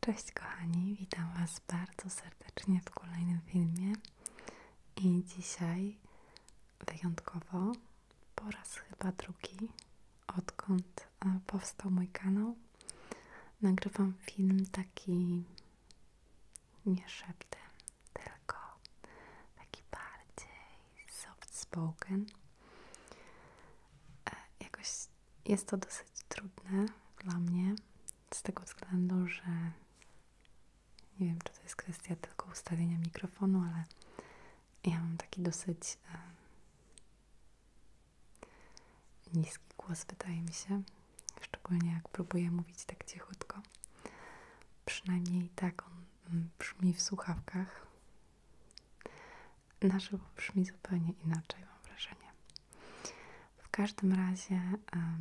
Cześć kochani, witam Was bardzo serdecznie w kolejnym filmie i dzisiaj wyjątkowo po raz chyba drugi, odkąd e, powstał mój kanał, nagrywam film taki nie szeptem, tylko taki bardziej soft spoken. E, jakoś jest to dosyć trudne dla mnie, z tego względu, że nie wiem, czy to jest kwestia tylko ustawienia mikrofonu, ale ja mam taki dosyć niski głos, wydaje mi się. Szczególnie jak próbuję mówić tak cichutko. Przynajmniej tak on mm, brzmi w słuchawkach nasz żywo brzmi zupełnie inaczej, mam wrażenie. W każdym razie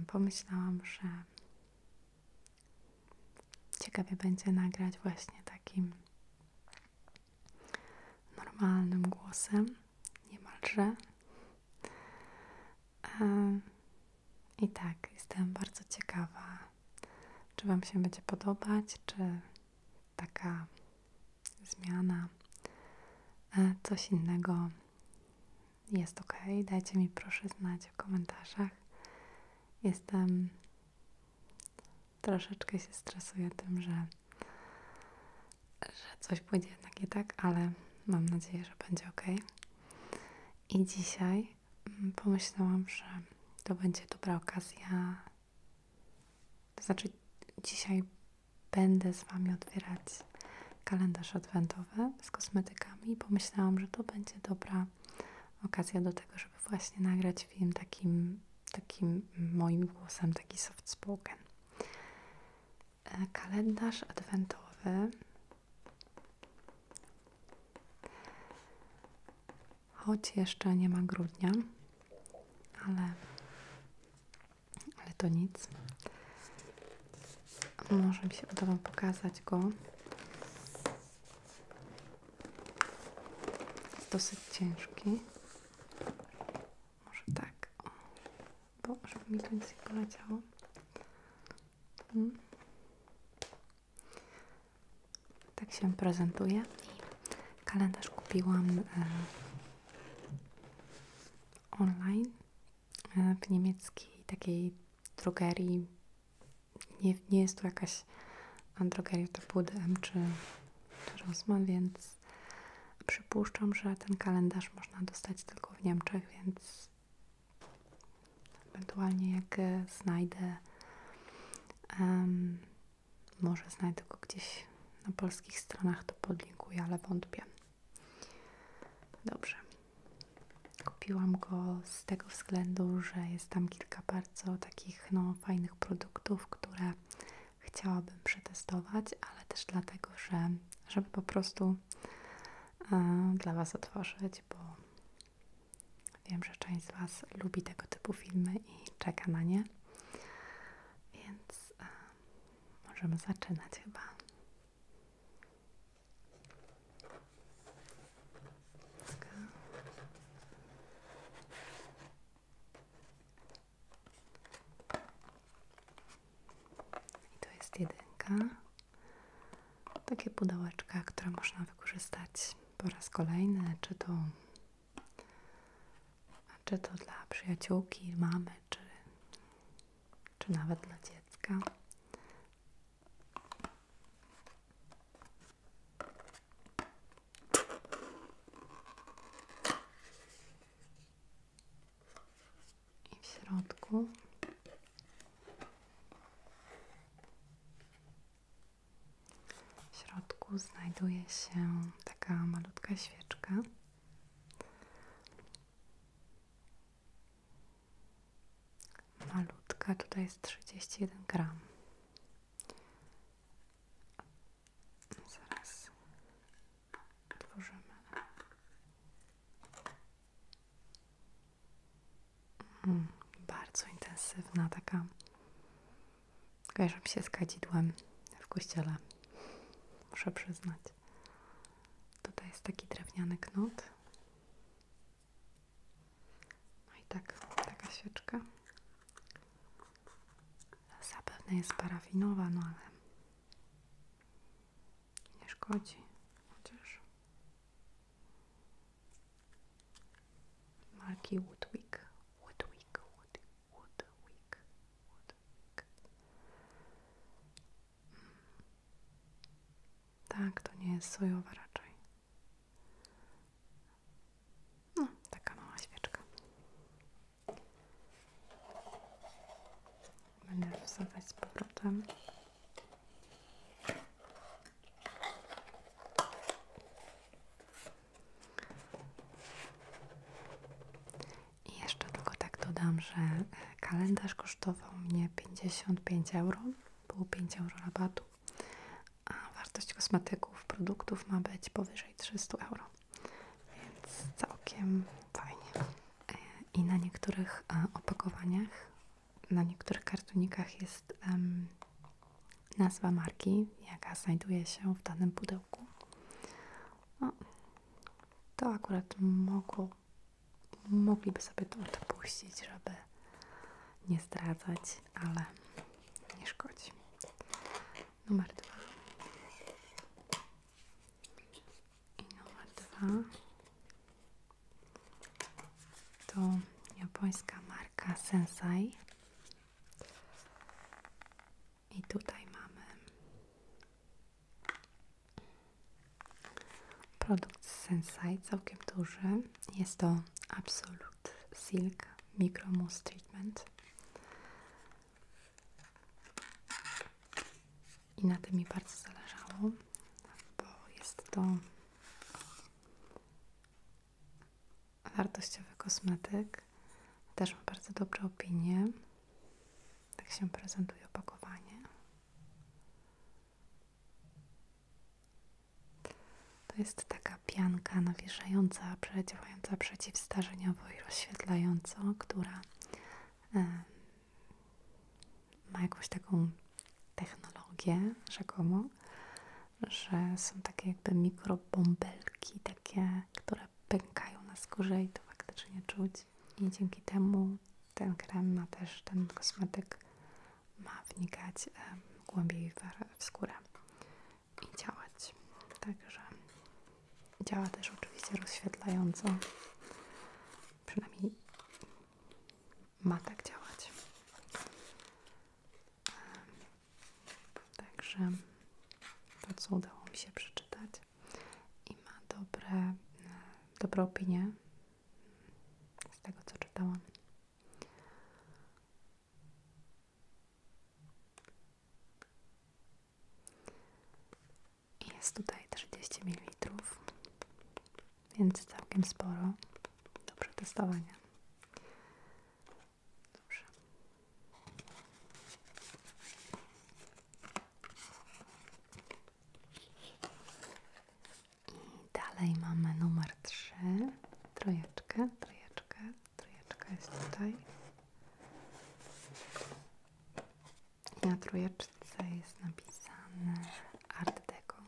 pomyślałam, że ciekawie będzie nagrać właśnie takim normalnym głosem, niemalże. Um, I tak, jestem bardzo ciekawa, czy Wam się będzie podobać, czy taka zmiana, e, coś innego jest ok. Dajcie mi proszę znać w komentarzach. Jestem troszeczkę się stresuję tym, że, że coś pójdzie jednak nie tak, ale mam nadzieję, że będzie ok. I dzisiaj mm, pomyślałam, że to będzie dobra okazja. To znaczy, dzisiaj będę z Wami otwierać kalendarz adwentowy z kosmetykami i pomyślałam, że to będzie dobra okazja do tego, żeby właśnie nagrać film takim, takim moim głosem, taki soft spoken. E, kalendarz adwentowy choć jeszcze nie ma grudnia, ale ale to nic. Może mi się uda Wam pokazać go. Jest dosyć ciężki. Może tak, bo żeby mi tu nic nie poleciało. Hmm. Tak się prezentuje. Kalendarz kupiłam e, online e, w niemieckiej takiej drogerii. Nie, nie jest to jakaś drogeria typu DM czy, Rosman, więc przypuszczam, że ten kalendarz można dostać tylko w Niemczech, więc ewentualnie jak e, znajdę um, może znajdę go gdzieś na polskich stronach, to podlinkuję, ale wątpię. Dobrze. Kupiłam go z tego względu, że jest tam kilka bardzo takich no, fajnych produktów, które chciałabym przetestować, ale też dlatego, że żeby po prostu e, dla Was otworzyć, bo wiem, że część z Was lubi tego typu filmy i czeka na nie. Więc e, Możemy zaczynać chyba. I to jest jedynka. Takie pudełeczka, które można wykorzystać po raz kolejny, czy to czy to dla przyjaciółki, mamy, czy, czy nawet dla dziecka. I w środku w środku znajduje się taka malutka świeczka. Malutka tutaj jest 31 gram. Zaraz mm, bardzo intensywna taka. Kojarzę się z kadzidłem w kościele muszę przyznać. Tutaj jest taki drewniany knot. No i tak, taka świeczka. Zapewne jest parafinowa, no ale nie szkodzi. Chociaż marki no, Woodwick. Woodwick, Woodwick. Hmm. Tak, to nie jest sojowa raczej. No, taka mała świeczka. Będę wsadać z powrotem. I jeszcze tylko tak dodam, że e, kalendarz kosztował mnie 55 euro, było 5 euro rabatu, a wartość kosmetyków, produktów ma być powyżej 300 euro, więc całkiem fajnie. E, I na niektórych e, opakowaniach, na niektórych kartonikach jest nazwa marki, jaka znajduje się w danym pudełku to akurat mogło, mogliby sobie to odpuścić, żeby nie zdradzać, ale nie szkodzi. Numer dwa. I numer dwa to japońska marka Sensai. I tutaj mamy produkt z Sensai, całkiem duży. Jest to Absolute Silk Micro Mousse Treatment. I na tym mi bardzo zależało, bo jest to wartościowy kosmetyk też ma bardzo dobre opinie. Tak się prezentuje opakowanie. To jest taka pianka nawilżająca, działająca przeciwstarzeniowo i rozświetlająca, która ma jakąś taką technologię rzekomo, że są takie jakby mikrobąbelki, takie, które pękają na skórze i to faktycznie czuć. I dzięki temu ten krem ma też, ten kosmetyk ma wnikać głębiej w skórę i działać. Także działa też oczywiście rozświetlająco. Przynajmniej ma tak działać. Także to, co udało mi się przeczytać, i ma dobre, e, dobre opinie z tego co czytałam. Jest tutaj 30 ml, więc całkiem sporo do przetestowania. Dobrze. I dalej mamy numer trzy, Trojeczkę, trojeczkę, trojeczka jest tutaj. Na trójeczce jest napisane Art Deco,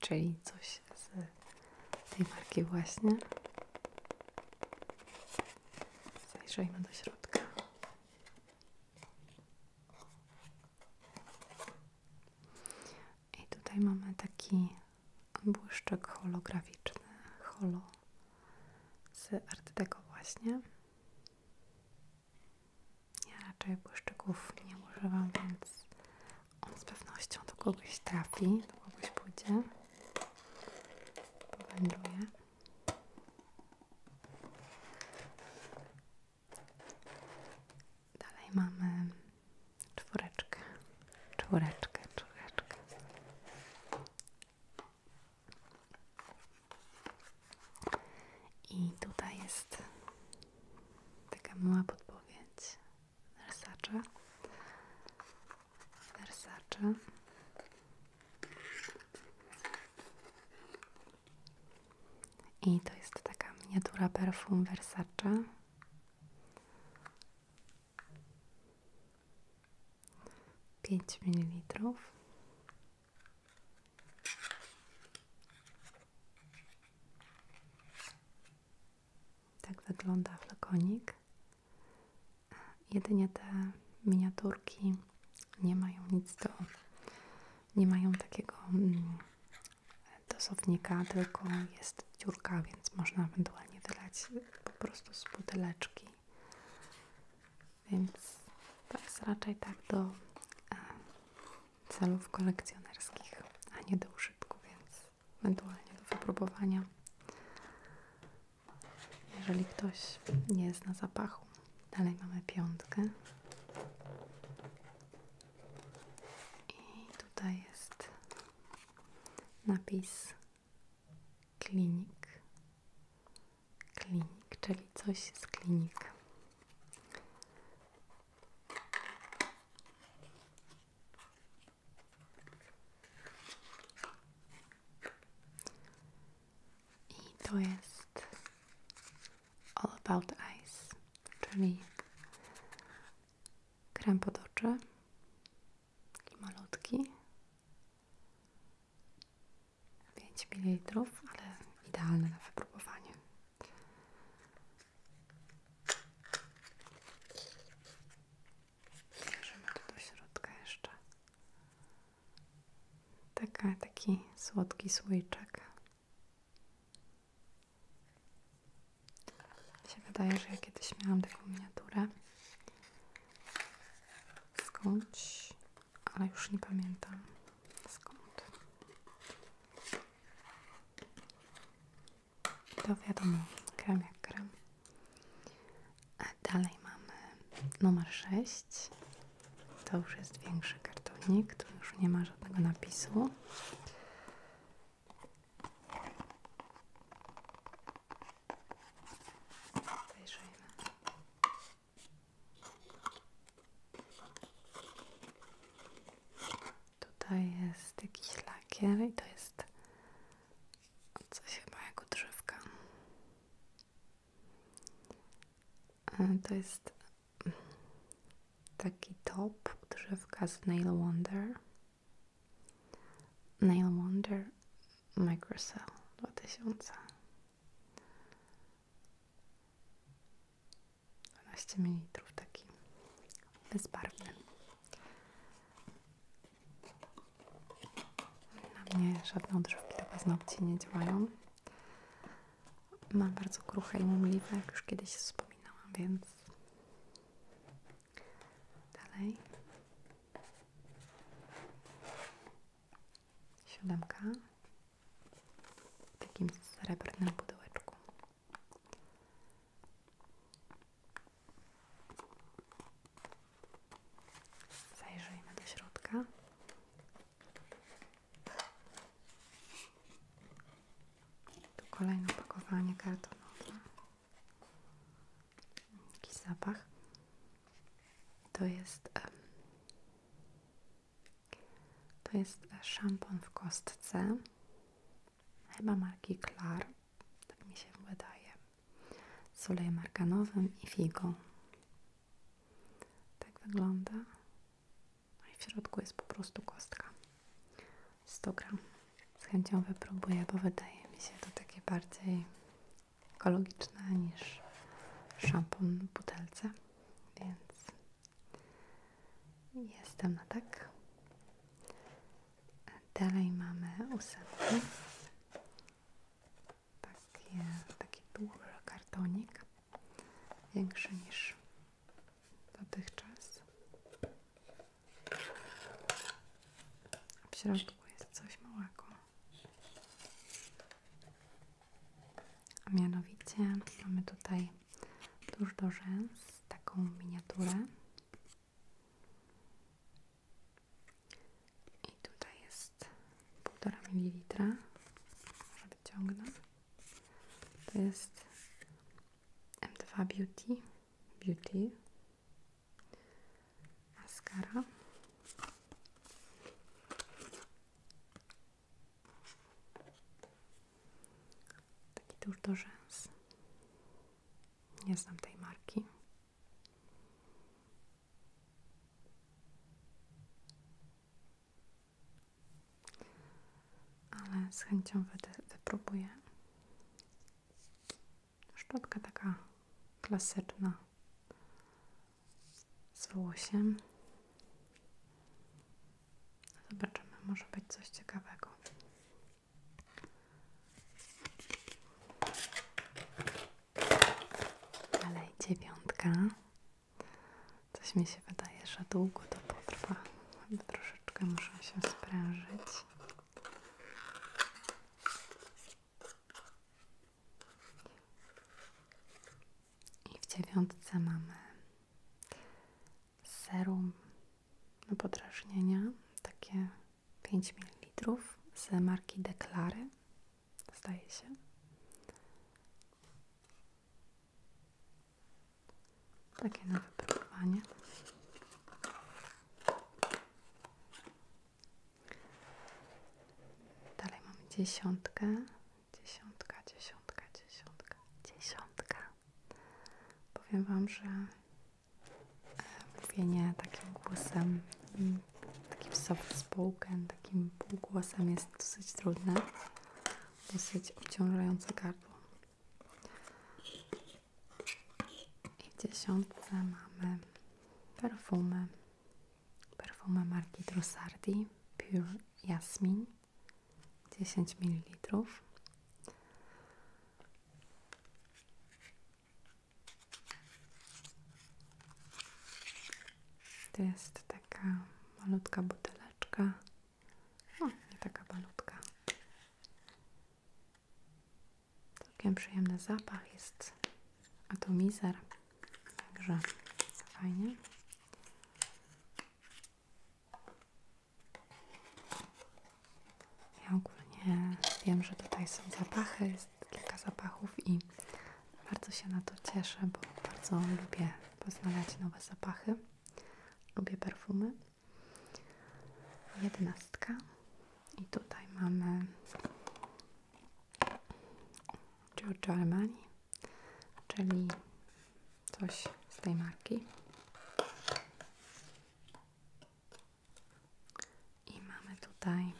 czyli coś z tej marki właśnie. Zajrzyjmy do środka. I tutaj mamy taki błyszczek holograficzny, holo z Artego właśnie. Ja raczej błyszczyków nie używam, więc on z pewnością do kogoś trafi, do kogoś pójdzie, powędruje. Dalej mamy czwóreczkę, czwóreczkę, czwóreczkę. I tutaj jest taka mała podpowiedź Versace. Versace. I to jest taka miniatura perfum Versace. Pięć mililitrów. Tak wygląda flakonik jedynie te miniaturki nie mają nic do, nie mają takiego mm, dosownika, tylko jest dziurka, więc można ewentualnie wylać po prostu z buteleczki. Więc to jest raczej tak do e, celów kolekcjonerskich, a nie do użytku, więc ewentualnie do wypróbowania jeżeli ktoś nie jest na zapachu. Dalej mamy piątkę. I tutaj jest napis klinik. Klinik, czyli coś z klinik. I to jest All About Eyes, czyli krem pod oczy, taki malutki, pięć ml, ale idealne na wypróbowanie. Bierzemy to do środka jeszcze. Taka, taki słodki słoiczek. Mi się wydaje, że ja kiedyś miałam taką miniaturę skąd? ale już nie pamiętam skąd. To wiadomo, krem jak krem. Dalej mamy numer sześć To już jest większy kartonik, tu już nie ma żadnego napisu. Obejrzyjmy. Tutaj jest jakiś lakier i to jest coś chyba jak drzewka E, to jest taki top drzewka z Nail Wonder. Nail Wonder Microcell 2000. 12 ml taki bezbarwny na mnie żadne odżywki do paznokci nie działają. Mam bardzo kruche i mumliwe, jak już kiedyś wspominałam, więc dalej. Siódemka w takim srebrnym pudełeczku. Zajrzyjmy do środka. Tu kolejne pakowanie kartonowe. Jakiś zapach. To jest to jest szampon w kostce chyba marki Klar, tak mi się wydaje, z olejem i figą. Tak wygląda. No i w środku jest po prostu kostka. 100 gram. Z chęcią wypróbuję, bo wydaje mi się to takie bardziej ekologiczne niż szampon w butelce. Więc jestem na tak. Dalej mamy ósemkę. Takie, taki duży kartonik, większy niż dotychczas. W środku jest coś małego. A mianowicie mamy tutaj tuż do rzęs taką miniaturę. I tutaj jest jest 1,5 ml. Może To jest M2 Beauty. Beauty. Mascara. Taki tuż Nie znam tej marki. Ale z chęcią wypróbuję. Szczotka taka klasyczna z włosiem. Zobaczymy, może być coś ciekawego. Ale dziewiątka, Coś mi się wydaje, że długo to potrwa. Troszeczkę muszę się sprężyć. I w dziewiątce mamy serum do podrażnienia, takie 5 ml z marki Deklary zdaje się. Takie na wypróbowanie. Dalej mamy dziesiątkę, dziesiątka, dziesiątka, dziesiątka, dziesiątka. Powiem Wam, że e, mówienie takim głosem mm, takim z spoken, takim półgłosem jest dosyć trudne, dosyć obciążające gardło. I w dziesiątce mamy perfumy. Perfumy marki Trussardi Pure Jasmin 10 ml. To jest taka malutka buteleczka. No, nie taka malutka. Całkiem przyjemny zapach jest atomizer. Także fajnie. Ja ogólnie wiem, że tutaj są zapachy, jest kilka zapachów i bardzo się na to cieszę, bo bardzo lubię poznawać nowe zapachy. Lubię perfumy. Jedenastka. I tutaj mamy Giorgio Almani, czyli coś z tej marki. I mamy tutaj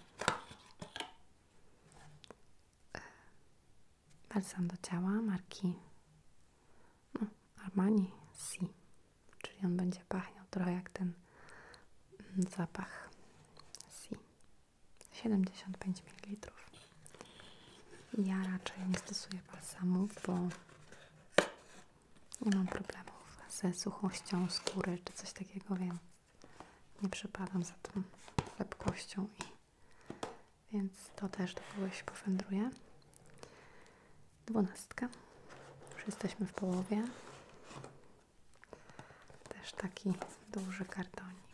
E, balsam do ciała marki no, Armani C. Czyli on będzie pachniał trochę jak ten mm, zapach C. 75 ml. Ja raczej nie stosuję balsamów, bo nie mam problemów ze suchością skóry czy coś takiego, wiem nie przepadam za tą lepkością i więc to też do się powędruje. Dwunastka. Już jesteśmy w połowie. Też taki duży kartonik.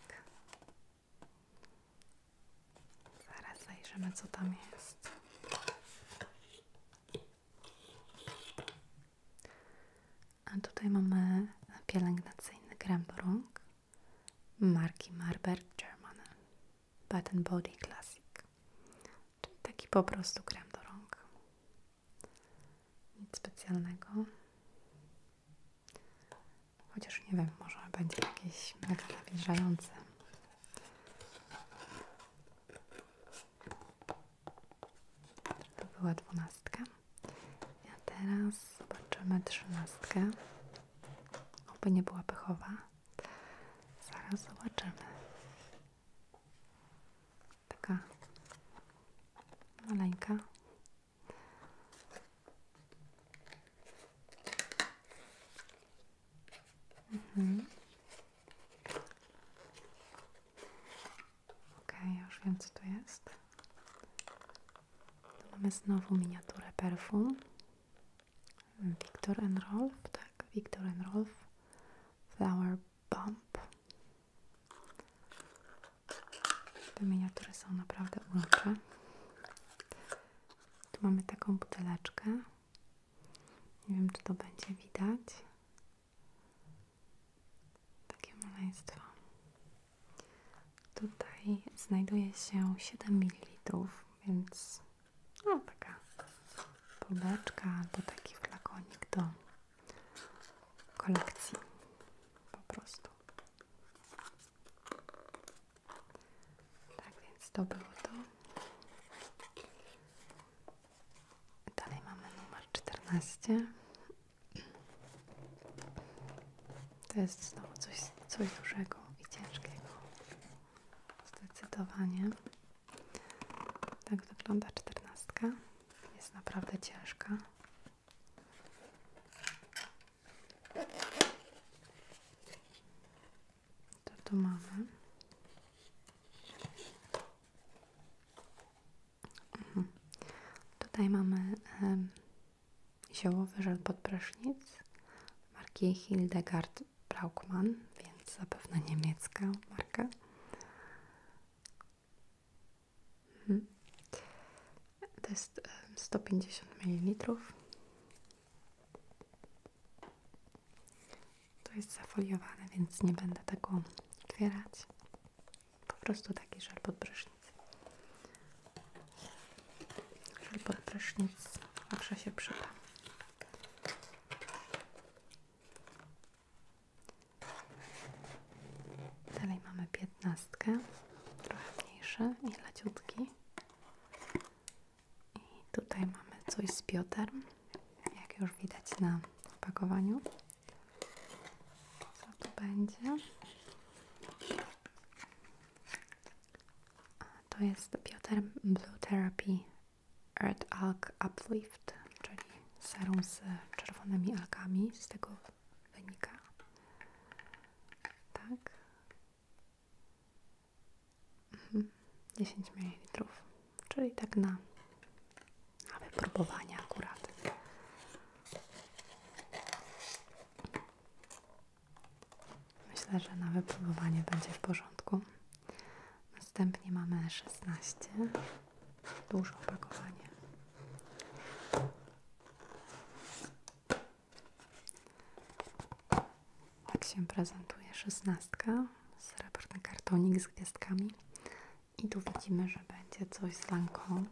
Zaraz zajrzymy, co tam jest. A tutaj mamy pielęgnacyjny krem do rąk marki Marberg German Bath Body Classic. Czyli taki po prostu krem do rąk. Nic specjalnego. Chociaż nie wiem, może będzie jakiś mega nawilżający. To była dwunastka. A teraz zobaczymy trzynastkę. Oby nie była pechowa. Zaraz zobaczymy. Taka maleńka. Mhm. okay, już wiem co jest. Tu Mamy znowu miniaturę perfum. Victor Rolf, tak, Victor Rolf Flower Bomb. Te miniatury są naprawdę urocze. Tu mamy taką buteleczkę. Nie wiem, czy to będzie widać takie maleństwo. Tutaj znajduje się 7 ml, więc no taka kubeczka albo taki flakonik do kolekcji po prostu. Tak więc to było to. Dalej mamy numer 14. To jest znowu coś, coś dużego i ciężkiego. Zdecydowanie. Tak wygląda czternastka. Jest naprawdę ciężka. Tutaj mamy. Mhm. Tutaj mamy ziołowy żel pod prysznic marki Hildegard Braukmann, więc zapewne niemiecka marka. Mhm. To jest 150 ml. To jest zafoliowane, więc nie będę tego otwierać. Po prostu taki żel pod prysznic. Żel pod prysznic zawsze się przyda. Dalej mamy piętnastkę, trochę mniejsze i leciutki. I tutaj mamy coś z Piotr, jak już widać na opakowaniu. Co tu będzie? To jest Bioter Blue Therapy Earth Alk Uplift, czyli serum z czerwonymi alkami, z tego wynika. Tak. 10 mhm. ml, czyli tak na, na wypróbowanie akurat. Myślę, że na wypróbowanie będzie w porządku. Następnie mamy 16. Duże opakowanie. Tak się prezentuje szesnastka. Srebrny kartonik z gwiazdkami. I tu widzimy, że będzie coś z lanką.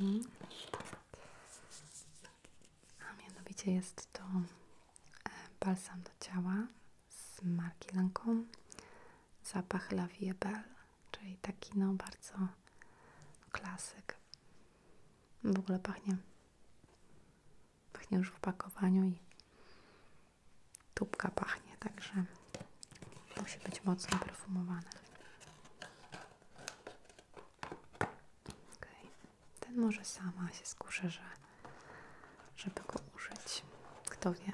Mhm. A mianowicie jest to e, balsam do ciała z marki Lancome zapach La czyli taki no bardzo klasyk. W ogóle pachnie pachnie już w opakowaniu i tubka pachnie, także musi być mocno perfumowany. Ten może sama się skuszę, że, żeby go użyć. Kto wie?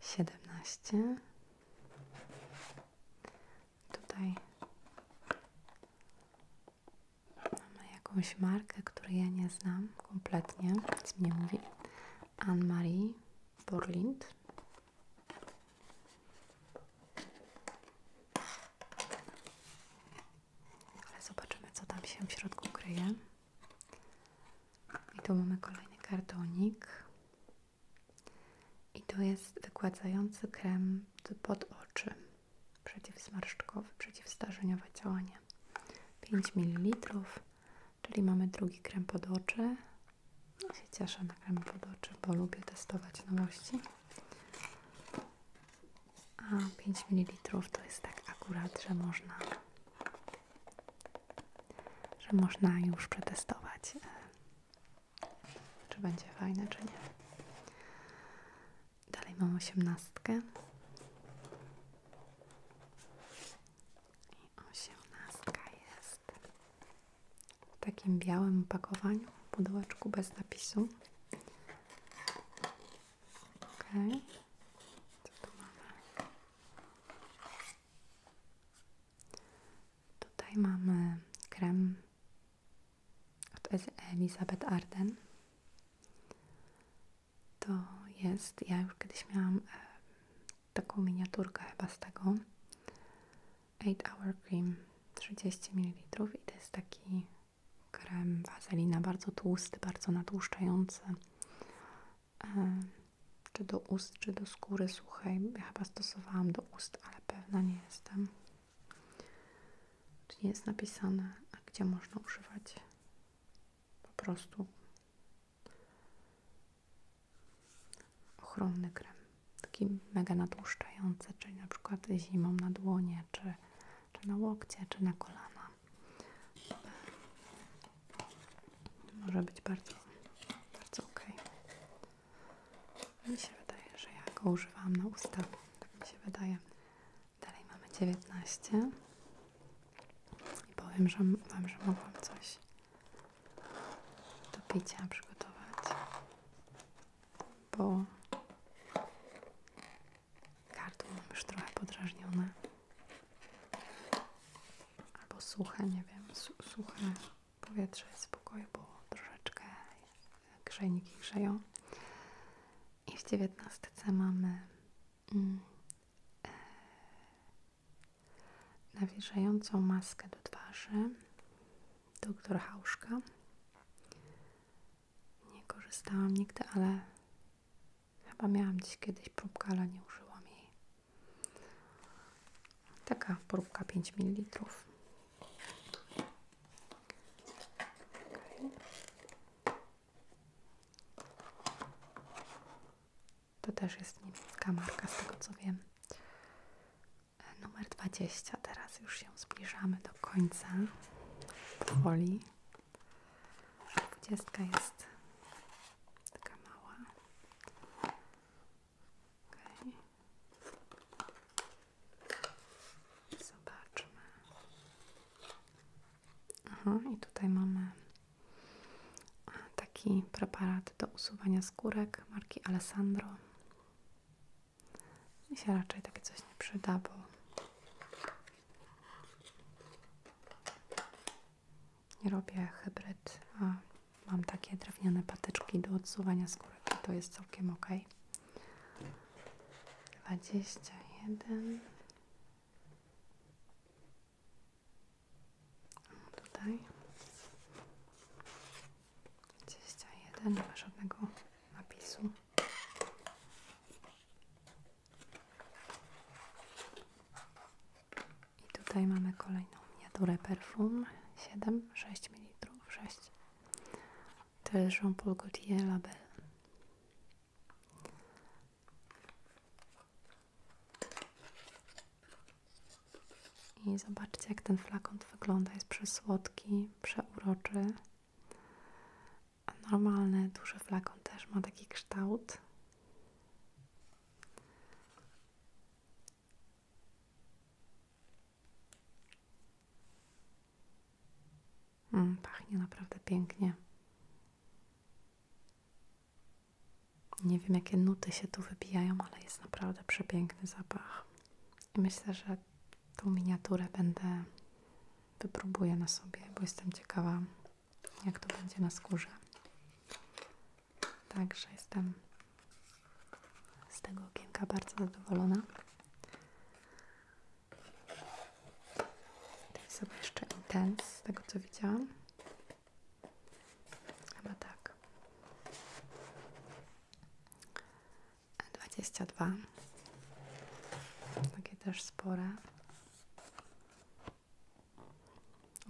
17 Tutaj mamy jakąś markę, której ja nie znam kompletnie, nic mi nie mówi. Anne-Marie Borlind. Ale zobaczymy, co tam się w środku kryje. I tu mamy kolejny kartonik. I to jest wygładzający krem pod oczy przeciwzmarszczkowy, przeciwstarzeniowe działanie. 5 ml, czyli mamy drugi krem pod oczy. Ja no, się cieszę na krem pod oczy, bo lubię testować nowości. A 5 ml to jest tak akurat, że można że można już przetestować e, czy będzie fajne, czy nie. Dalej mam osiemnastkę. I osiemnastka jest w takim białym opakowaniu, w pudełeczku bez napisu. Ok. Co tu mamy? Tutaj mamy krem to jest Elizabeth Arden. To jest, ja już kiedyś miałam e, taką miniaturkę chyba z tego Eight Hour Cream 30 ml i to jest taki krem wazelina, bardzo tłusty, bardzo natłuszczający e, czy do ust, czy do skóry suchej. chyba stosowałam do ust, ale pewna nie jestem. Tu nie jest napisane, a gdzie można używać po prostu ochronny krem. Taki mega natłuszczający, czyli na przykład zimą na dłonie, czy na łokcie, czy na kolana. Może być bardzo, bardzo ok. Mi się wydaje, że ja go używałam na usta. Tak mi się wydaje. Dalej mamy 19. I powiem że, Wam, że mogłam coś do picia przygotować. Bo gardło mam już trochę podrażnione. Albo suche, nie wiem, su powietrze jest bo troszeczkę grzejniki grzeją. I w dziewiętnastce mamy mm, e, maskę do twarzy doktor Hauszka. Nie korzystałam nigdy, ale chyba miałam dziś kiedyś próbkę, ale nie użyłam jej. Taka próbka 5 ml. Okay. To też jest niemiecka marka, z tego co wiem. E, numer dwadzieścia. Teraz już się zbliżamy do końca. Powoli. 20 jest taka mała. Okay. Zobaczmy. Aha, i tutaj mamy e, taki preparat do usuwania skórek marki Alessandro. Mi się raczej takie coś nie przyda, nie robię hybryd, a mam takie drewniane patyczki do odsuwania skórek i to jest całkiem ok dwadzieścia jeden tutaj dwadzieścia jeden, nie ma napisu i tutaj mamy kolejną miniaturę perfum 7, 6 ml, 6 to jest Jean-Paul Gaultier Label. I zobaczcie, jak ten flakon wygląda. Jest przesłodki, przeuroczy. A normalny, duży flakon też ma taki kształt. Mm, pachnie naprawdę pięknie. Nie wiem, jakie nuty się tu wybijają, ale jest naprawdę przepiękny zapach. myślę, że tą miniaturę będę wypróbuję na sobie, bo jestem ciekawa, jak to będzie na skórze. Także jestem z tego okienka bardzo zadowolona. To jest chyba jeszcze intens, tego co widziałam. Chyba tak. 22. Takie też spore.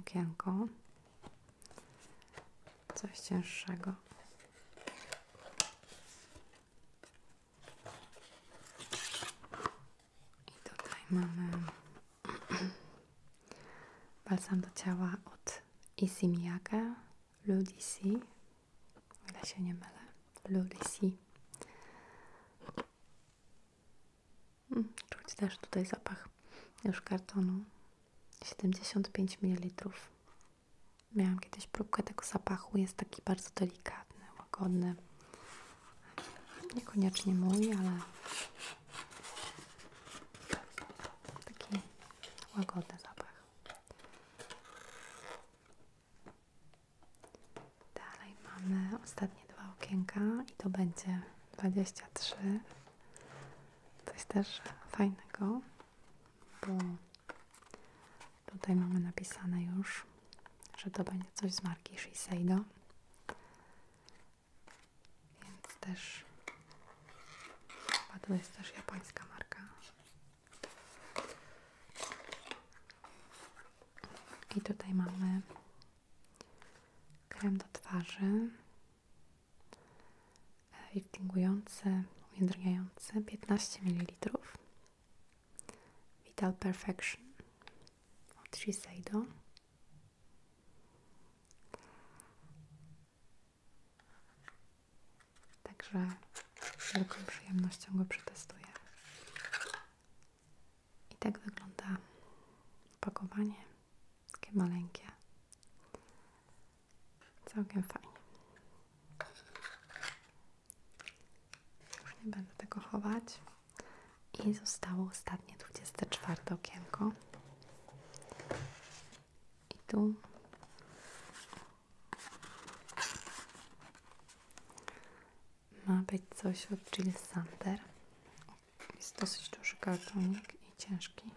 Ukienko. Coś cięższego. I tutaj mamy balsam do ciała od Issey Miyake, Ludici, ile się nie mylę, Ludici. Mm, czuć też tutaj zapach już kartonu. 75 ml. Miałam kiedyś próbkę tego zapachu, jest taki bardzo delikatny, łagodny. Niekoniecznie mój, ale taki łagodny zapach. Dalej mamy ostatnie dwa okienka i to będzie 23. Coś też fajnego, bo Tutaj mamy napisane już, że to będzie coś z marki Shiseido. Więc też chyba to jest też japońska marka. I tutaj mamy krem do twarzy e, liftingujący, ujędrniający 15 ml Vital Perfection od Shiseido. Także z wielką przyjemnością go przetestuję. I tak wygląda opakowanie. Takie maleńkie. Całkiem fajnie. Już nie będę tego chować. I zostało ostatnie 24 okienko. I tu ma być coś od Jill Sander. Jest dosyć duży kartonik i ciężki.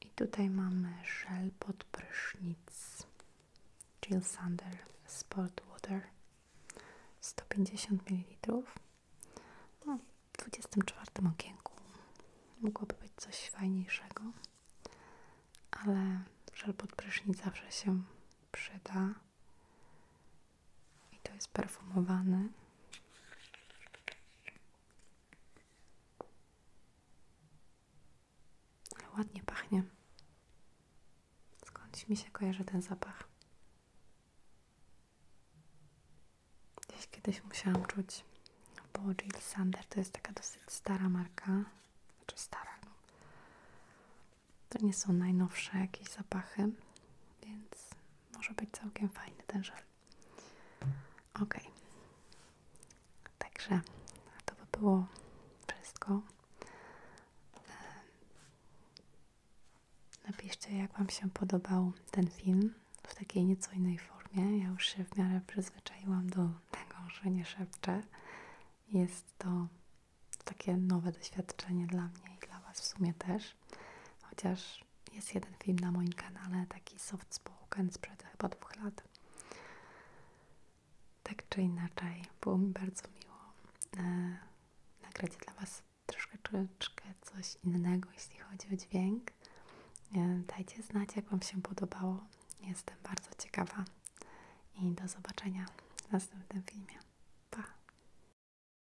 I tutaj mamy żel pod prysznic Jill Sander Sport Water 150 ml. No, w 24 okienku mogłoby być coś fajniejszego, ale żel pod prysznic zawsze się przyda. I to jest perfumowane. Ale ładnie pachnie. Skądś mi się kojarzy ten zapach. Gdzieś kiedyś musiałam czuć, bo Jill Sander to jest taka dosyć stara marka. Znaczy stara, no. To nie są najnowsze jakieś zapachy, więc może być całkiem fajny ten żal. Ok. Także to by było wszystko. Napiszcie, jak Wam się podobał ten film w takiej nieco innej formie. Ja już się w miarę przyzwyczaiłam do tego, że nie szepczę. Jest to takie nowe doświadczenie dla mnie i dla Was w sumie też. Chociaż jest jeden film na moim kanale, taki soft spoken sprzed chyba dwóch lat. Tak czy inaczej, było mi bardzo miło e, nagrać dla Was troszeczkę coś innego, jeśli chodzi o dźwięk. E, dajcie znać, jak Wam się podobało. Jestem bardzo ciekawa i do zobaczenia w następnym filmie. Pa!